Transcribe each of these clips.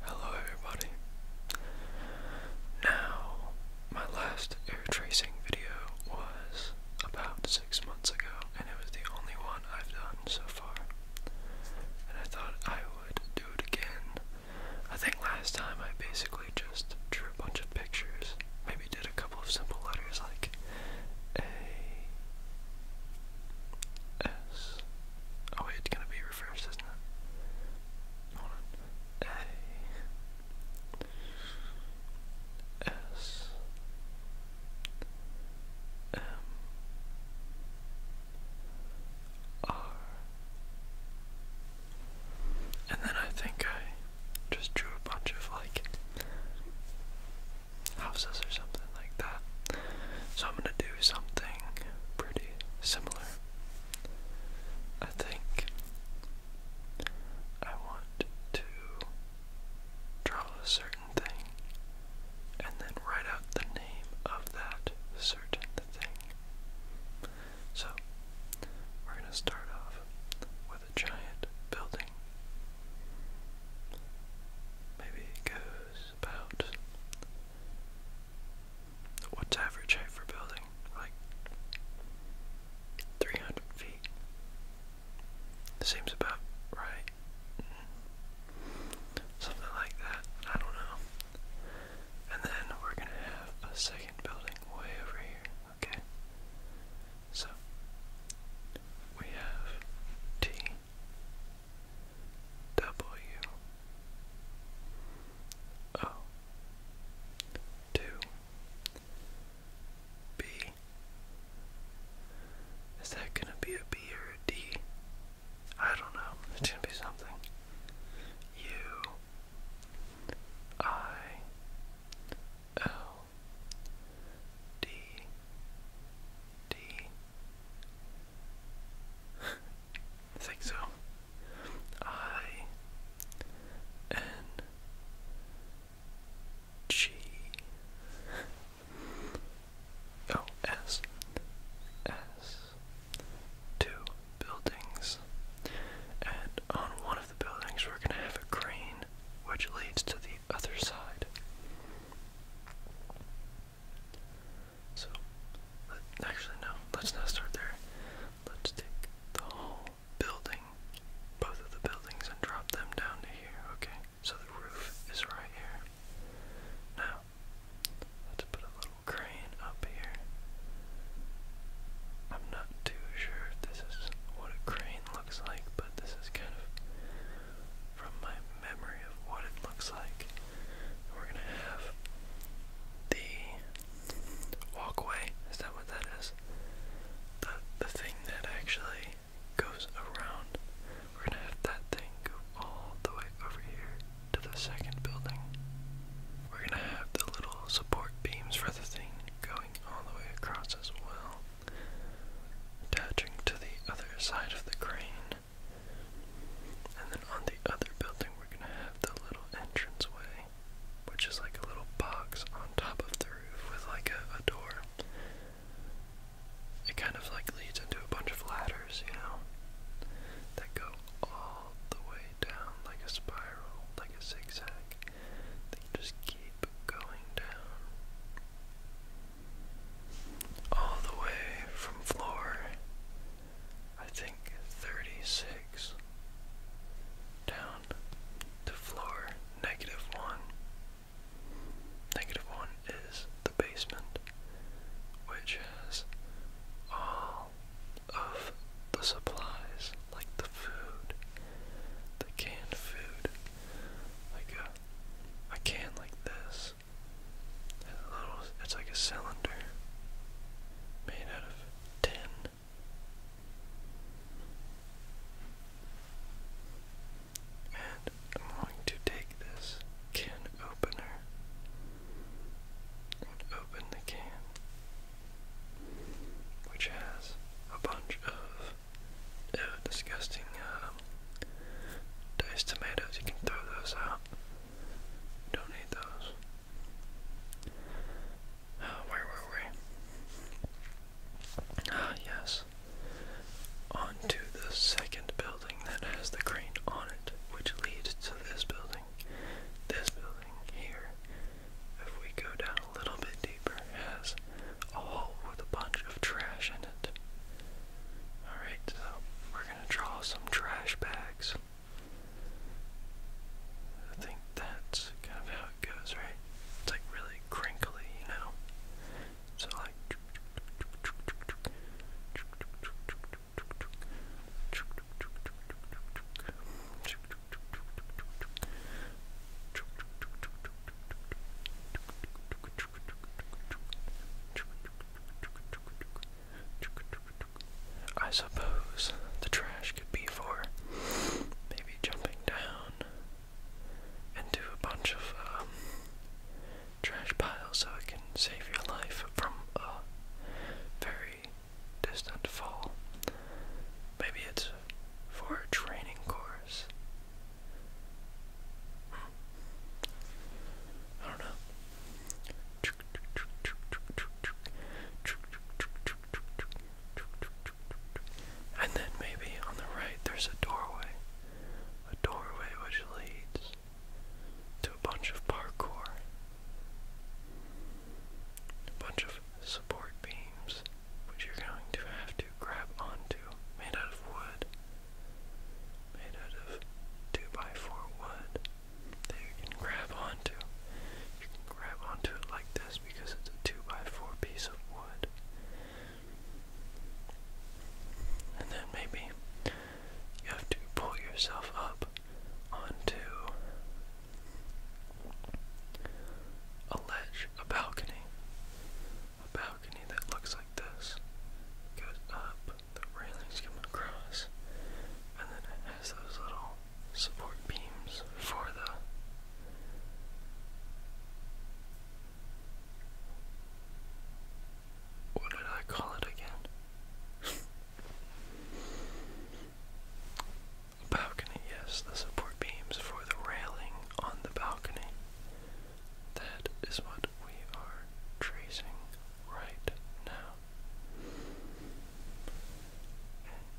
Hello, everybody. Now, my last air tracing video was about six months ago, and it was the only one I've done so far. And I thought I would do it again. I think last time I basically just drew a bunch of pictures, maybe did a couple of simple letters like A. S Oh it's gonna be reversed, isn't it? A S M R And then I think I just drew a bunch of like houses or something like that. So I'm gonna do something pretty similar. I think I want to draw a certain thing and then write out the name of that certain thing. So we're gonna start off with a giant building. Maybe it was about what's average height for building? Like 300 feet. Seems about right. Something like that. I don't know. And then we're gonna have a second building way over here. Okay. So we have T W O two B. Is that gonna be a B or a D? I don't know. It's going be something. U I L D D. Think so. I N G O oh, S S two buildings. And on one of the buildings we're gonna have a crane which leads to the other side. So, let, actually, no, let's not start there. Let's take the whole building, both of the buildings, and drop them down to here, okay? So the roof is right here. Now, let's put a little crane up here. I'm not too sure if this is what a crane looks like, but this is kind of from my memory of what it looks like. we're gonna have the walkway. Is that what that is? The the thing that actually goes around. We're gonna have that thing go all the way over here to the second building. We're gonna have the little support beams for the thing going all the way across as well. Attaching to the other side of the crane. And then on the other building, we're gonna have the little entranceway, which is like a little box on top of the roof with like a, door. It kind of like leads into a bunch of ladders, you know, that go all the way down like a spiral, like a zigzag. They just keep going down all the way from floor, I think 36, down to floor negative 1. Negative 1 is the basement, which has all of the supplies, like the food, the canned food, like a, a can like this it's like a cylinder made out of tin. And I'm going to take this can opener and open the can, which has a bunch of disgusting um, diced tomatoes. You can throw those out. Don't need those. Uh, where were we? Ah, yes. On to the second building that has the crane on it, which leads to this building. This building here, if we go down a little bit deeper, has a hole with a bunch of trash in it. Alright, so we're gonna draw some trash bags. I think that's kind of how it goes, right? It's like really crinkly, you know? So, like. I suppose the trash could be for maybe jumping down into a bunch of um, trash piles so it can save your life from a very distant fall. Maybe it's for a training course. I don't know. And then maybe on the right there's a doorway. A doorway which leads to a bunch of parkour. A bunch of support beams which you're going to have to grab onto, made out of wood. Made out of 2x4 wood you can grab onto. You can grab onto it like this because it's a 2x4 piece of wood. And then maybe you have to pull yourself up onto a ledge, a balcony. A balcony that looks like this. Goes up the railings coming across, and then it has those little support beams for the what did I call it again? balcony, yes, the support beams for the railing on the balcony. That is what we are tracing right now.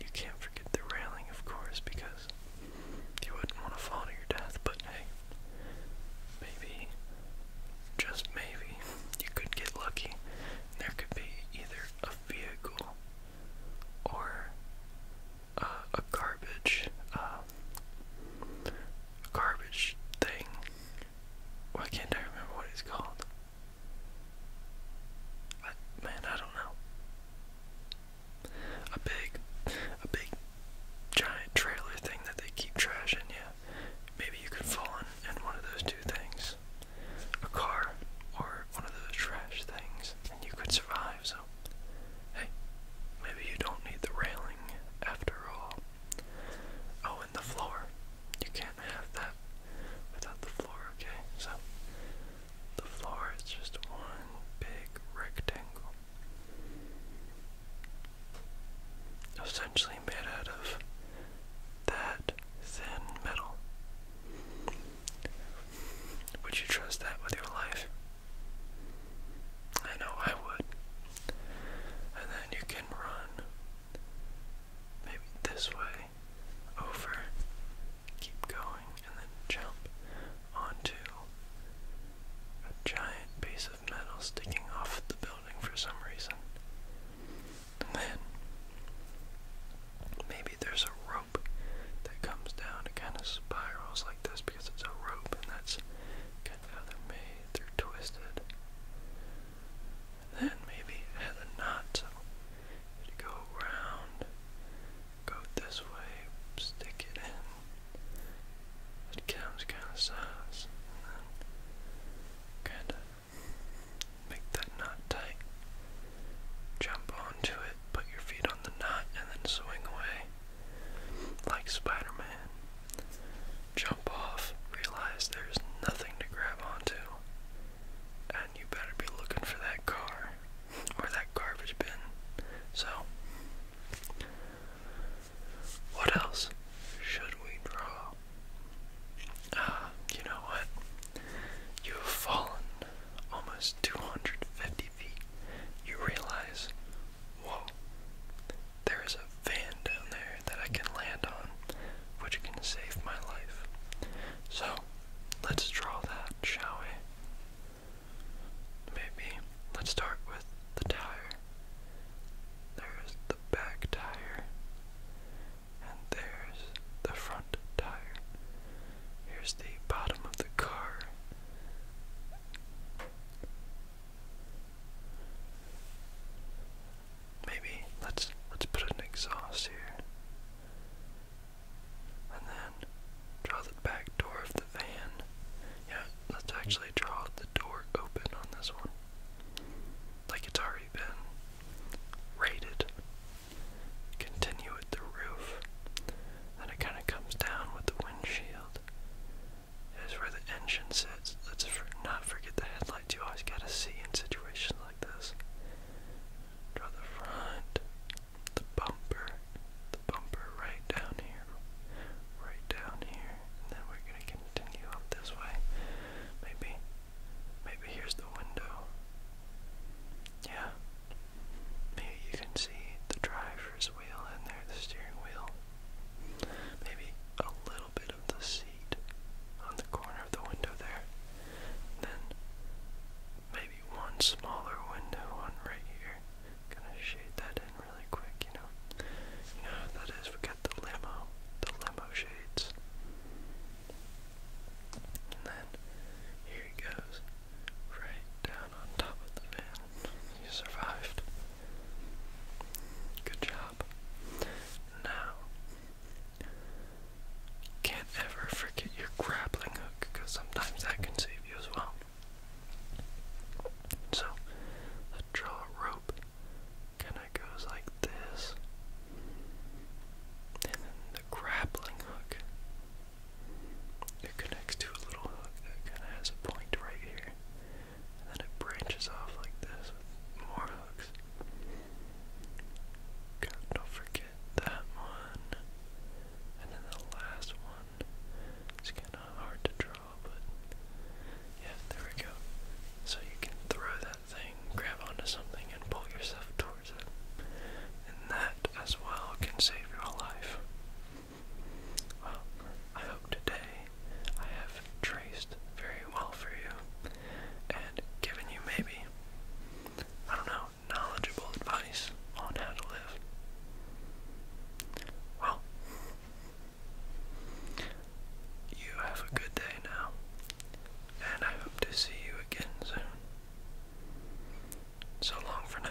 You can't forget the railing, of course, because you wouldn't want to fall to your death, but hey, maybe, just maybe, you could get lucky. There could be either a vehicle or uh, a garbage, uh, garbage thing why can't I remember what it's called? man, I don't know. A big, a big, giant trailer thing that they keep trashing. Yeah, maybe you could fall in, in one of those two things, a car or one of those trash things, and you could survive. So, hey, maybe you don't need the railing after all. Oh, and the floor. You can't have that without the floor, okay? So, the floor is just one big rectangle. Essentially made out of that thin metal. Would you trust that with your life? I know I would. And then you can run Maybe this way, over, keep going, and then jump onto a giant piece of metal sticking off the building for some reason. And then maybe there's a rope that comes down. and kind of spirals like this because it's a rope, and that's kind of how they're made. They're twisted and then maybe it has a knot, so go around, go this way, stick it in. It comes kind of size, kind of make that knot tight. Jump onto it, put your feet on the knot, and then swing away like Spider jump off, realize there's nothing to grab onto, and you better be looking for that car or that garbage bin. So, what else should we draw? Ah, you know what? You have fallen almost 250 feet. You realize, whoa, there is a fan down there that I can land on, which can save my life. So, let's draw that, shall we? Maybe let's start with the tire. There's the back tire, and there's the front tire. Here's the bottom of the car maybe let's let's put an exhaust here. And then draw the back door of the van. Yeah, let's actually draw the door open on this one. Like it's already been rated. Continue with the roof. Then it kind of comes down with the windshield. Is where the engine sits headsets. Let's for not forget the headlights you always gotta see in situations like this. Draw the front, the bumper, the bumper right down here, right down here, and then we're gonna continue up this way. Maybe, maybe here's the window. Yeah. Maybe you can see the driver's wheel in there, steering wheel. Maybe a little bit of the seat on the corner of the window there. then maybe one smaller window on right here. Gonna shade that in really quick, you know. You that is. We got the limo, the limo shades. And then here he goes, right down on top of the van. You survived. Good job. Now can't ever forget your grappling hook because sometimes that can save you as well. So, the draw rope kind of goes like this, and then the grappling hook. It connects to a little hook that kind of has a point right here, and then it branches off like this with more hooks don't forget that one. And then the last one. It's kind of hard to draw, but yeah, there we go. So you can throw that thing, grab onto something, and pull yourself towards it. And that as well can save your life. Well, I hope today I have traced very well for you and given you maybe, I don't know, knowledgeable advice on how to live. Well, you have a good day now, and I hope to see you again soon. So long for now.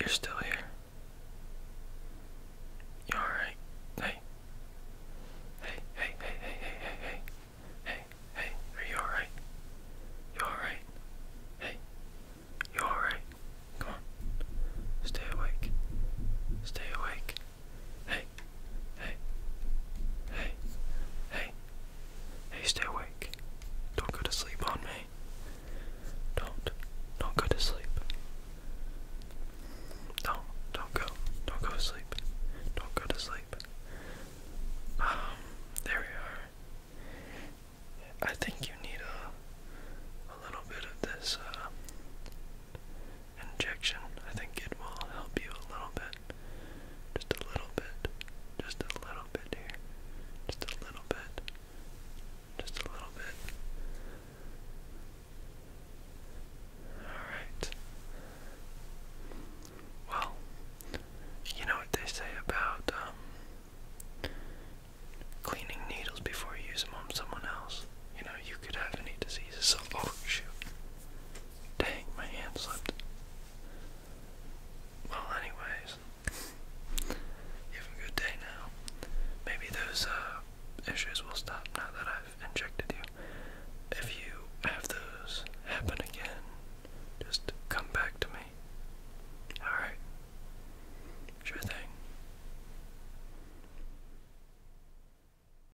You're still here. You alright? Hey. Hey, hey, hey, hey, hey, hey, hey. Hey, are you alright? You alright? Hey. You alright? Come on. Stay awake. Stay awake. Hey, hey, hey, hey, hey, stay awake. Don't go to sleep on me. Don't, don't go to sleep. Don't, don't go, don't go to sleep. Don't go to sleep. Um, there we are. I think you need a, a little bit of this, uh, injection. I think it will help you a little bit. Just a little bit. Just a little bit here. Just a little bit. Just a little bit. Alright. Well, you know what they say about um, cleaning needles before you use them on someone else. You know, you could have any diseases. oh shoot. Dang, my hand slipped. Well, anyways, have a good day now. Maybe those uh, issues will stop now that I've injected you. If you have those happen again, just come back to me. Alright. Sure thing.